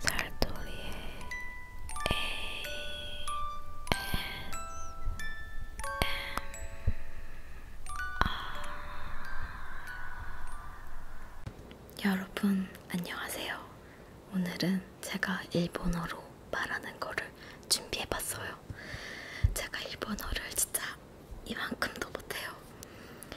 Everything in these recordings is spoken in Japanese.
살돌이의 ASMR 여러분 안녕하세요. 오늘은 제가 일본어로 말하는 거를 준비해봤어요. 제가 일본어를 진짜 이만큼도 못해요.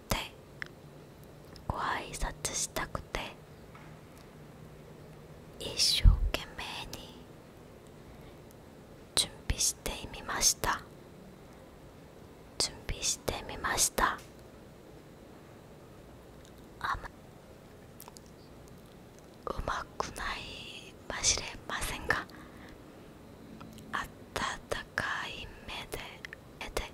くてご挨拶したくて一生懸命に準備してみました準備してみましたあまうまくないかしれませんが温かい目で絵て。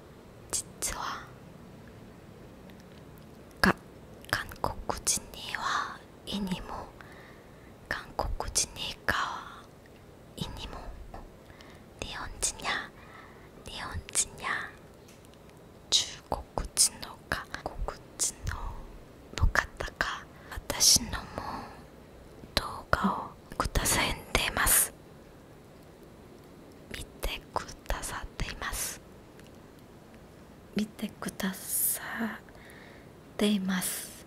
実は韓国人には意にも韓国人には意にも日本人や日本人や中国人の韓国人の方が私のも動画をくださってます見てくださっています見てくださっています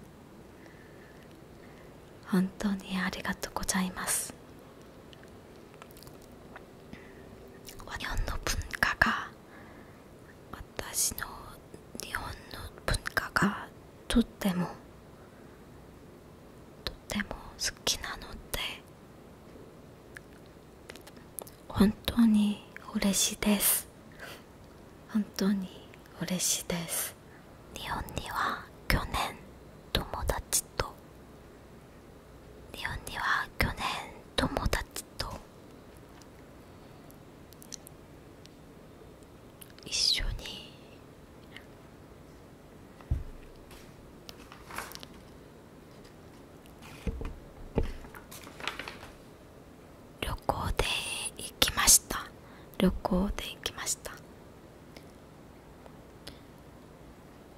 本当にありがとうございます日本の文化が私の日本の文化がとってもとっも好きなので本当に嬉しいです本当に嬉しいです日本には去年友達と日本には去年友達と一緒に旅行で行きました旅行で行きました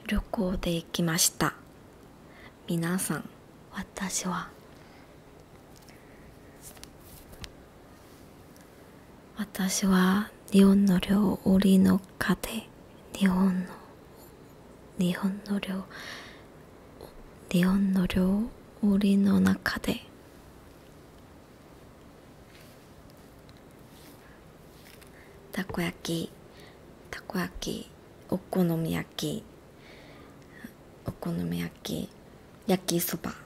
旅行で行きました皆さん私は私は日本の料理の家庭日本の日本の料日本の料理の中でたこ焼きたこ焼きお好み焼きお好み焼き焼きそば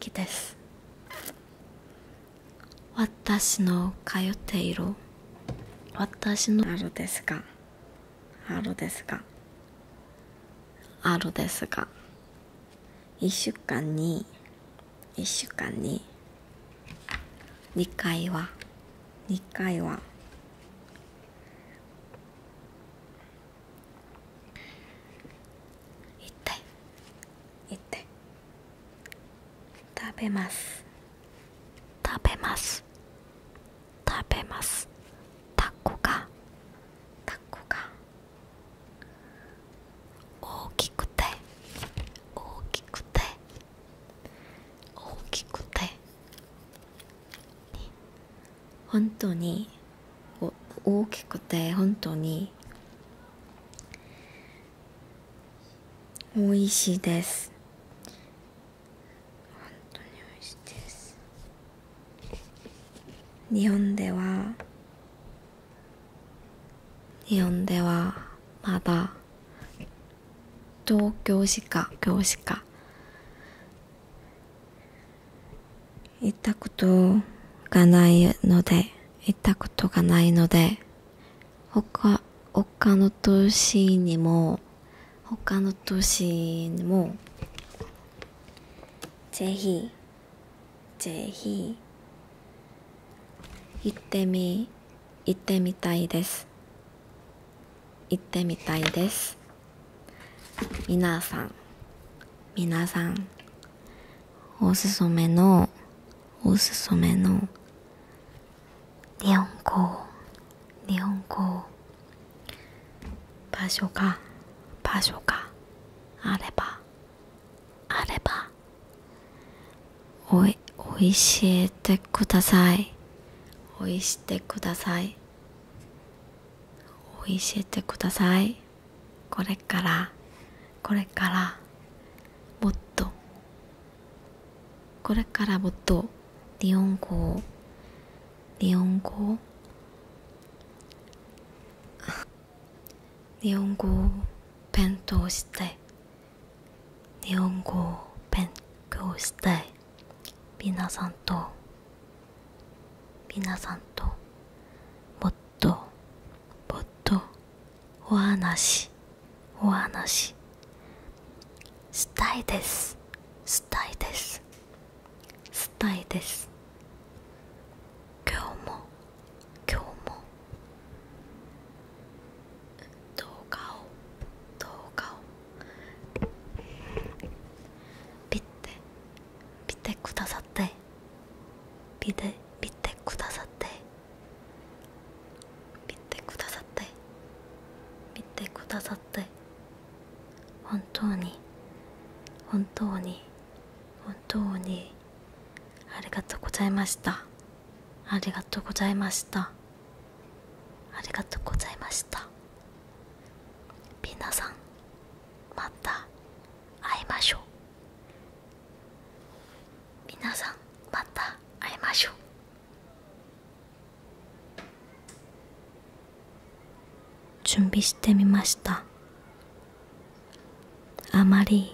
きです私の通っている私のあるですがあるですがあるですが1週間に1週間に2回は2回は一体一体食べます食べます食べますタコがタコが大きくて大きくて大きくてに本当に大きくて本当に美味しいです本当に美味しいです日本では日本ではまだ東京しか京しか行ったことがないので、行ったことがないので、他、他の都市にも、ほかの都市にも、ぜひ、ぜひ、行ってみ、行ってみたいです。行ってみたいです。皆さん皆さんおすすめのおすすめの日本語日本語場所が場所があればあればおい教えてください教えてください教えてくださいこれからこれからもっとこれからもっと日本語日本語日本語を勉強したい日本語を勉強したい皆さんと皆さんともっともっとお話お話したいですしたいですしたいです今日も今日も動画を動画をッて見てくださって見て見てくださって見てくださって見てくださって本当に本当に本当にありがとうございましたありがとうございました。ありがとうございました皆さんまた会いましょう皆さんまた会いましょう準備してみましたあまり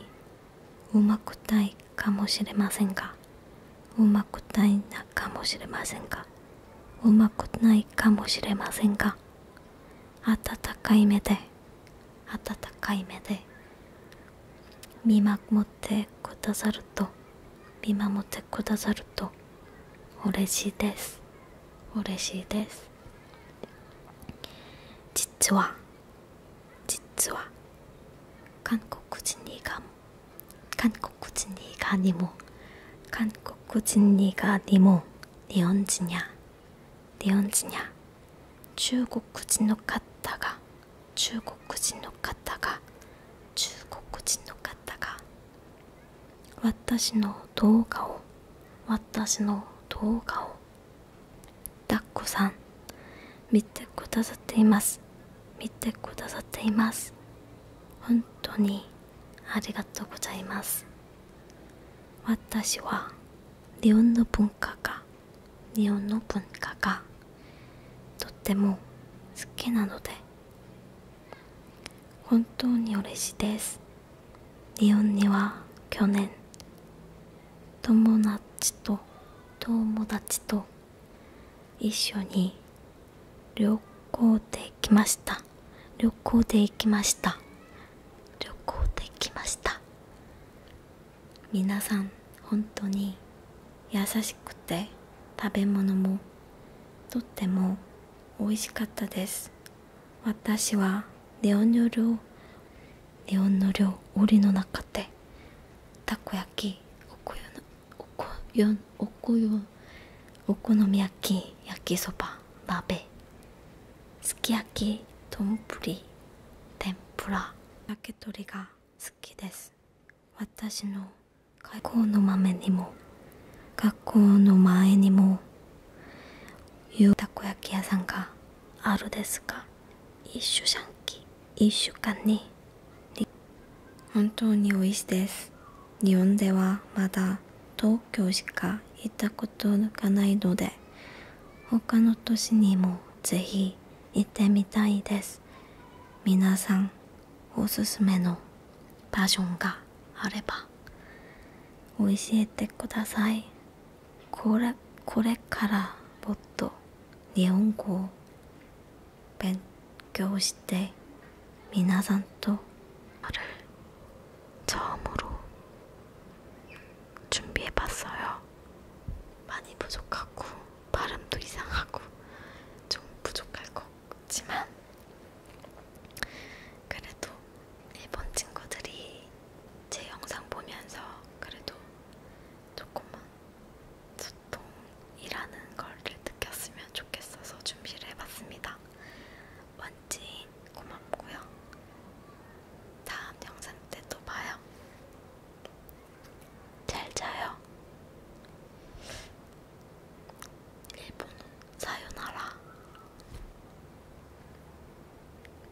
うまくたいかもしれませんがうまくたいなかもしれませんがうまくないかもしれませんが温かい目で温かい目で見守ってくださると見守ってくださると嬉しいです嬉しいです実は実は韓国人にが한국구진이가니모한국구진이가니모네언지냐네언지냐중국구진노갔다가중국구진노갔다가중국구진노갔다가私の動画を私の動画をだっこさん見てくださっています見てくださっています本当にありがとうございます私は日本の文化が日本の文化がとっても好きなので本当に嬉しいです日本には去年友達と友達と一緒に旅行できました旅行で行きました旅行できました皆さん本当に優しくて食べ物もとっても美味しかったです私はレオンの量レオンの量檻の中でたこ焼きおこよおこよおこよお好み焼き焼きそば鍋すき焼き丼天ぷら焼き鳥が好きです私のいこうの豆にも学校の前にもいうたこ焼き屋さんがあるですが一週間に本当に美味しいです日本ではまだ東京しか行ったことがないので他の都市にもぜひ行ってみたいです皆さんおすすめのバージョンがあれば教えてください 고레, 고레카라 모토 니혼고 벤교시대 미나산토 를 처음으로 준비해봤어요. 많이 부족하고 발음도 이상하고 좀 부족할 것 같지만 그래도 일본 친구들이 제 영상 보면서 그래도 조금만 소통이라는 걸 느꼈으면 좋겠어서 준비를 해봤습니다. 원진 고맙고요. 다음 영상 때 또 봐요. 잘 자요. 일본어 사요나라.